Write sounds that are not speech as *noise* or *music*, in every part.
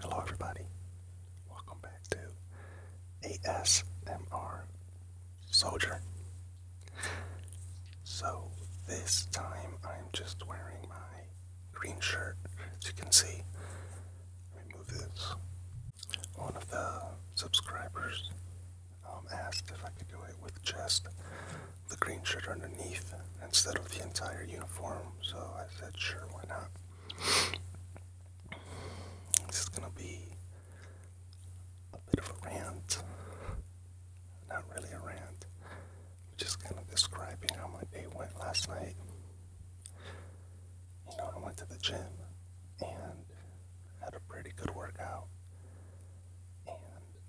Hello, everybody. Welcome back to ASMR Soldier. So, this time I'm just wearing my green shirt, as you can see. Let this. One of the subscribers um, asked if I could do it with just the green shirt underneath instead of the entire uniform, so I said, sure, why not? This is gonna be a bit of a rant. Not really a rant. just kind of describing how my day went last night. You know, I went to the gym and had a pretty good workout. And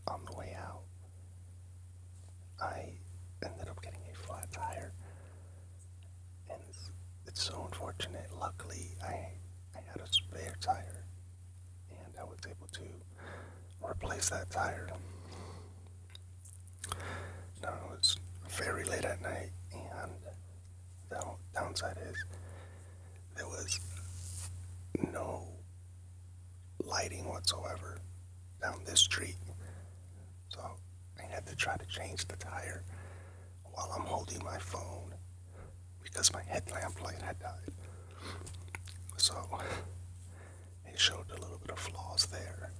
on the way out, I ended up getting a flat tire, and it's, so unfortunate. Luckily, I I had a spare tire, and I was able to replace that tire. Now it was very late at night, and the downside is there was no lighting whatsoever down this street. So I had to try to change the tire while I'm holding my phone because my headlamp light had died. So it showed a little bit of flaws there.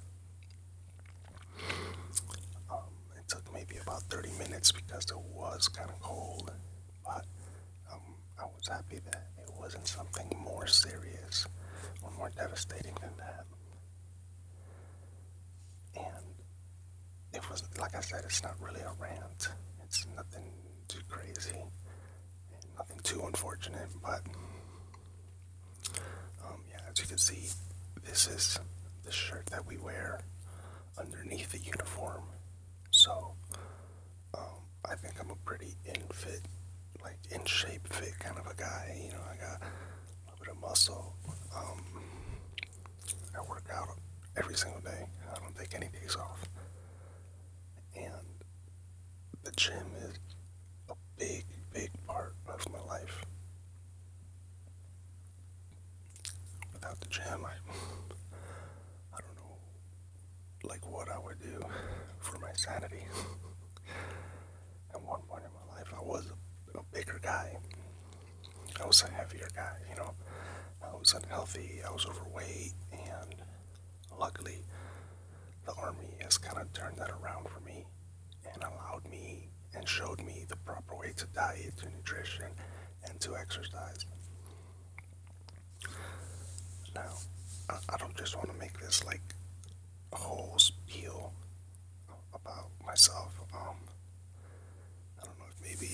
Um, it took maybe about 30 minutes because it was kind of cold, but um, I was happy that it wasn't something more serious or more devastating than that. And it was, like I said, it's not really a rant. It's nothing too crazy, nothing too unfortunate, but um, yeah, as you can see, this is the shirt that we wear underneath the uniform. So um, I think I'm a pretty in fit like in shape, fit kind of a guy. You know, I got a little bit of muscle. Um, I work out every single day. I don't take any days off. And the gym is a big, big part of my life. Without the gym, I, I don't know, like what I would do for my sanity. *laughs* At one point in my life, I was a, bigger guy. I was a heavier guy, you know. I was unhealthy, I was overweight, and luckily, the Army has kind of turned that around for me and allowed me and showed me the proper way to diet, to nutrition, and to exercise. Now, I don't just want to make this like whole spiel uh, about myself. Um, I don't know if maybe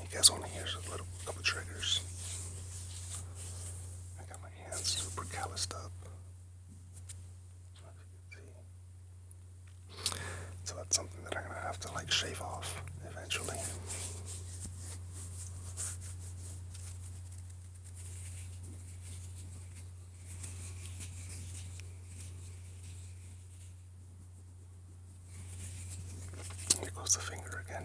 you guys want to hear a little couple triggers. I got my hands super calloused up. So that's something that I'm gonna have to like shave off eventually. Here goes the finger again.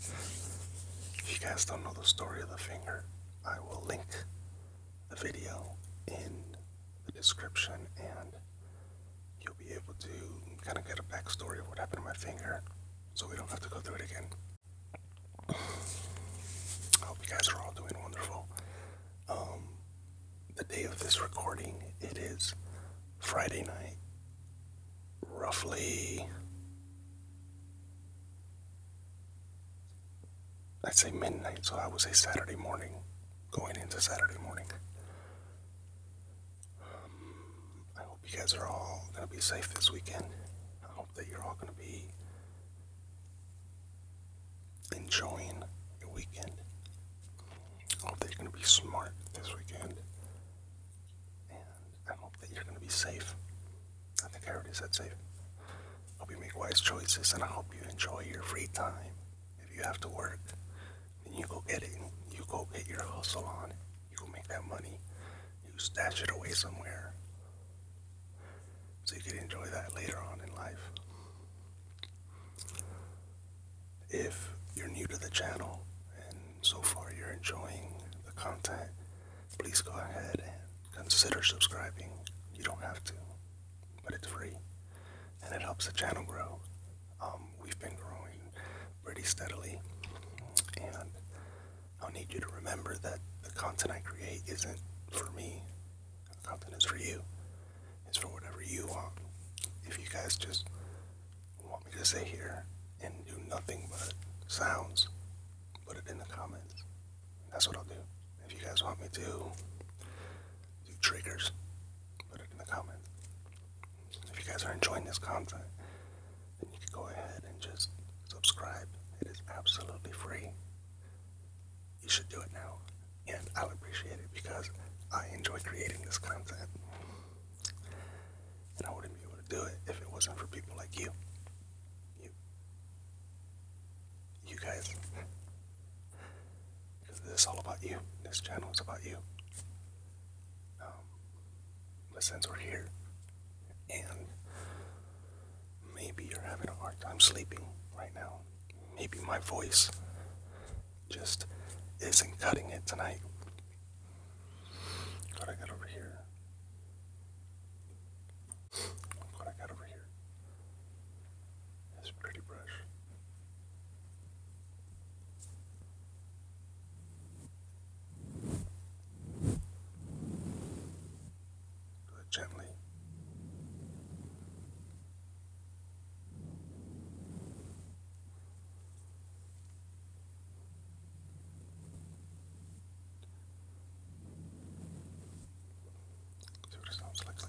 if you guys don't know the story of the finger, I will link the video in the description and you'll be able to kind of get a backstory of what happened to my finger so we don't have to go through it again. I hope you guys are all doing wonderful. Um, the day of this recording, it is Friday night, roughly. I'd say midnight, so I would say Saturday morning, going into Saturday morning. Um, I hope you guys are all going to be safe this weekend. I hope that you're all going to be enjoying your weekend. I hope that you're going to be smart this weekend. And I hope that you're going to be safe. I think I already said safe. I hope you make wise choices and I hope you enjoy your free time. If you have to work, then you go get it. You go get your hustle on. You go make that money. You stash it away somewhere. So you can enjoy that later on in life. If you're new to the channel and so far you're enjoying the content, please go ahead and consider subscribing. You don't have to, but it's free and it helps the channel grow. Um, we've been growing pretty steadily, and i need you to remember that the content I create isn't for me. The content is for you. It's for whatever you want. If you guys just want me to sit here and do nothing but sounds, put it in the comments. That's what I'll do. If you guys want me to do triggers, put it in the comments. If you guys are enjoying this content, then you can go ahead and just subscribe. It is absolutely free. You should do it now, and I'll appreciate it because I enjoy creating this content. And I wouldn't be able to do it if it wasn't for people like you. You. You guys. It's all about you. This channel is about you. Um, but since we're here, and maybe you're having a hard time sleeping right now, maybe my voice just isn't cutting it tonight. What I got over here? What I got over here? This pretty brush. Do it gently. See it sounds like this.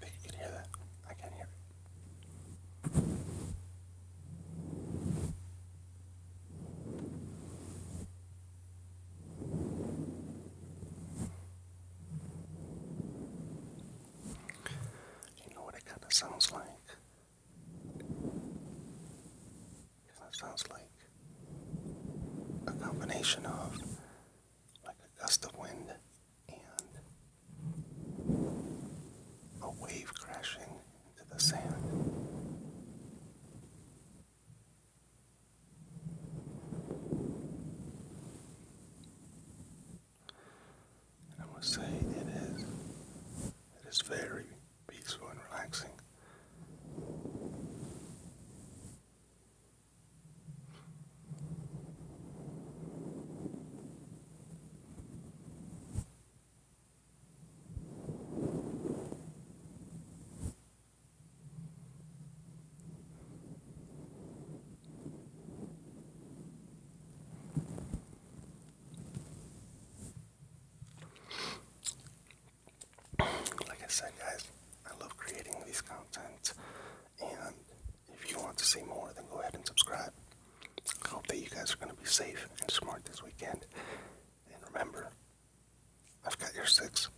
Maybe you can hear that. I can't hear it. You know what it kind of sounds like? It kind of sounds like a combination of like a gust of wind and a wave crashing into the sand. And I must say it is it is very peaceful and relaxing. Like I said, guys, I love creating these contents, and if you want to see more, then go ahead and subscribe. I hope that you guys are going to be safe and smart this weekend, and remember, I've got your six.